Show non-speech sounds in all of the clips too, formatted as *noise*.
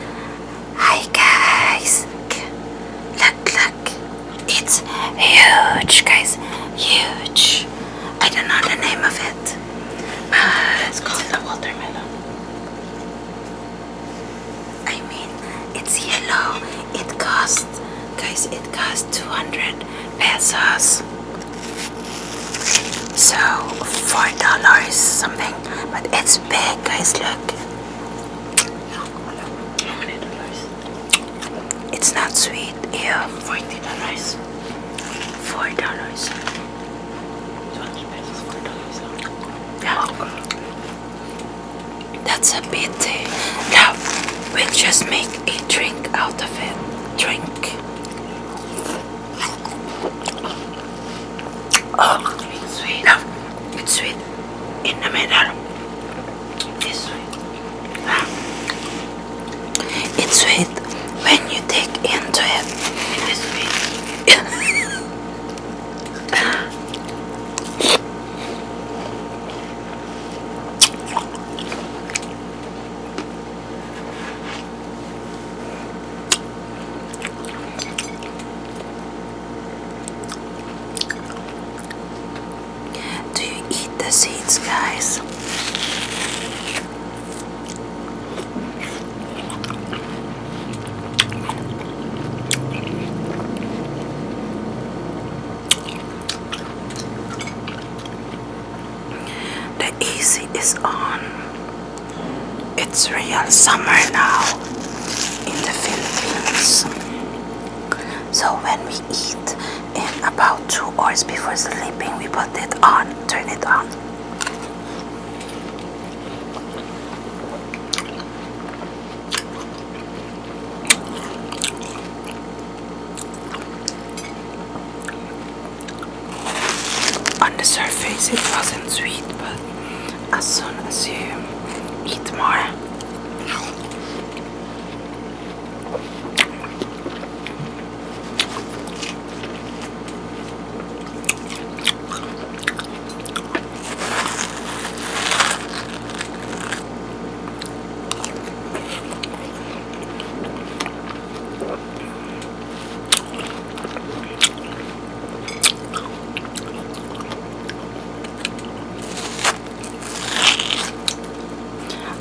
Hi guys! Look, look! It's huge, guys! Huge! I don't know the name of it. Uh, it's called the watermelon. I mean, it's yellow. It cost, guys, it cost 200 pesos. So, $4 something, but it's it's guys. Look. How many dollars? It's not sweet. Yeah. Forty dollars. Four dollars. Twenty Four dollars. Yeah. That's a pity. Uh, now we'll just make a drink out of it. Drink. Oh, it's sweet. it's sweet in the middle. It's sweet. It's sweet when you take into it. It is sweet. Do you eat the seeds, guys? The easy is on. It's real summer now in the Philippines. So when we eat in about two hours before sleeping, we put it on, turn it on. On the surface it wasn't sweet but as soon as you eat more.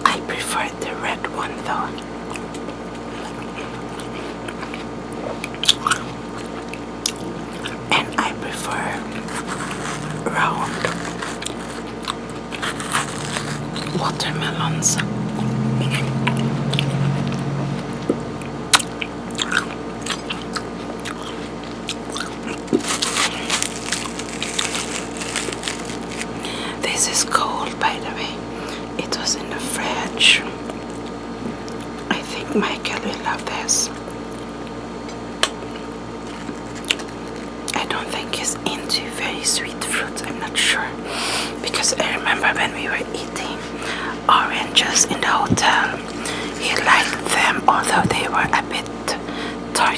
I prefer the red one though. And I prefer round watermelons. This is cold, by the way. It was in the fridge. I think Michael will love this. I don't think he's into very sweet fruits, I'm not sure. Because I remember when we were eating oranges in the hotel. He liked them, although they were a bit tart.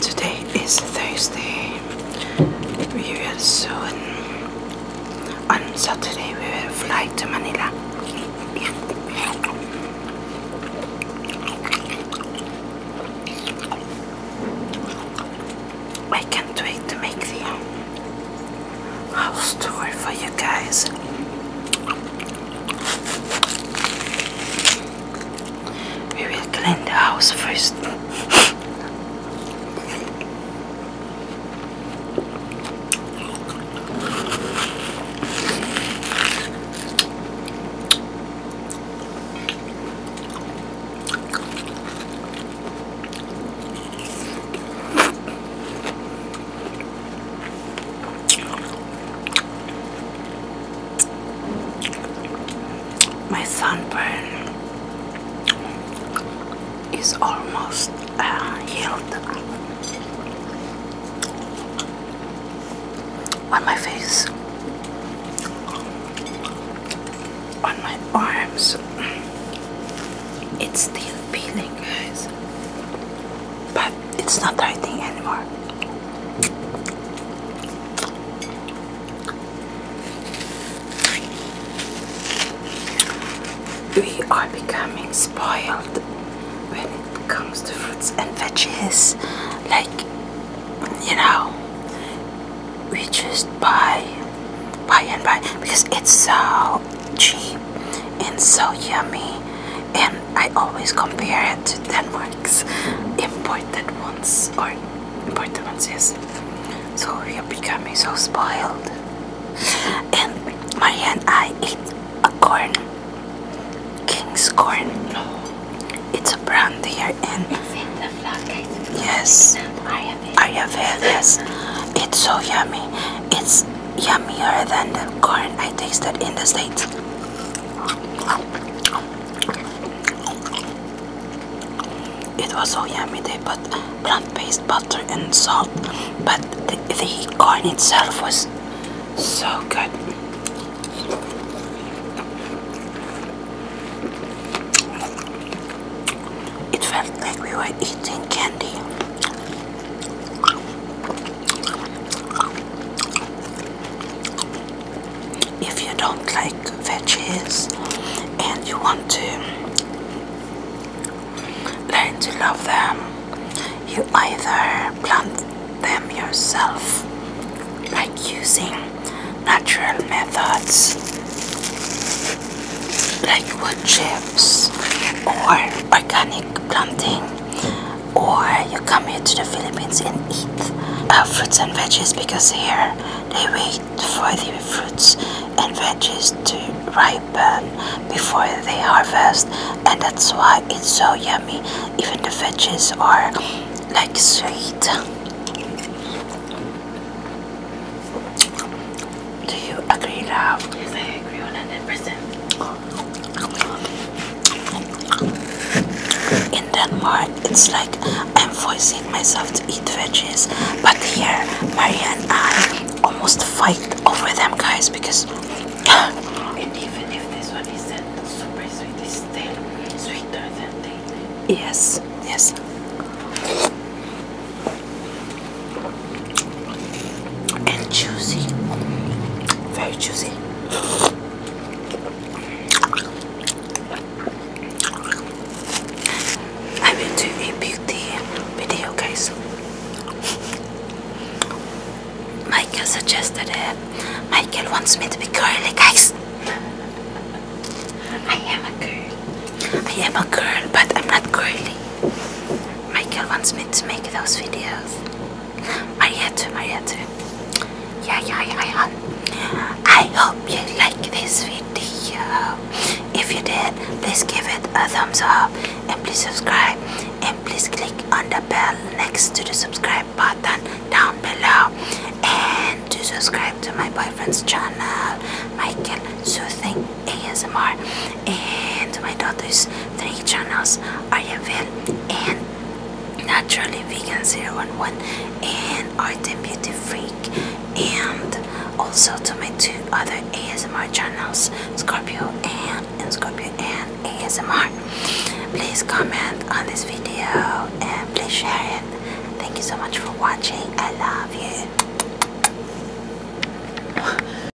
Today is Thursday. We will soon. On Saturday, we will fly to Manila. I can't wait to make the house tour for you guys. We will clean the house first. My sunburn is almost uh, healed on my face, on my arms. It's still peeling, guys, but it's not the anymore. We are becoming spoiled when it comes to fruits and veggies. Like, you know, we just buy, buy and buy because it's so cheap and so yummy and I always compare it to Denmark's imported ones or imported ones, yes. So we are becoming so spoiled. And Maria I ate a corn, King's corn. It's a brand here in. It's in the Yes. Ayurved. Yes. It's so yummy. It's yummier than the corn I tasted in the States. It was so yummy, they put plant-based butter and salt, but the corn itself was so good. It felt like we were eating candy. If you don't like veggies and you want to learn to love them, you either plant them yourself, like using natural methods like wood chips or organic planting or you come here to the Philippines and eat uh, fruits and veggies because here they wait for the fruits and veggies to ripen before they harvest and that's why it's so yummy even the veggies are like sweet do you agree love yes i agree 100% in Denmark, it's like I'm forcing myself to eat veggies, but here, Maria and I almost fight over them, guys, because. *laughs* and even if this one isn't super sweet, it's sweeter than they. Yes, yes and juicy, very juicy. I will do a beauty video, guys. Michael suggested it. Michael wants me to be curly, guys. I am a girl. I am a girl, but I'm not curly. Michael wants me to make those videos. Mariette, Mariette. Yeah, yeah, yeah, yeah. I hope you like this video. If you did, please give it a thumbs up and please subscribe and please click on the bell next to the subscribe button down below and to subscribe to my boyfriend's channel, Michael. So thank ASMR and my daughter's three channels Ariavel and Naturally Vegan 011 and Art and Beauty Freak and also to my two other ASMR channels Scorpio and, and Scorpio and ASMR. Please comment on this video and please share it. Thank you so much for watching. I love you.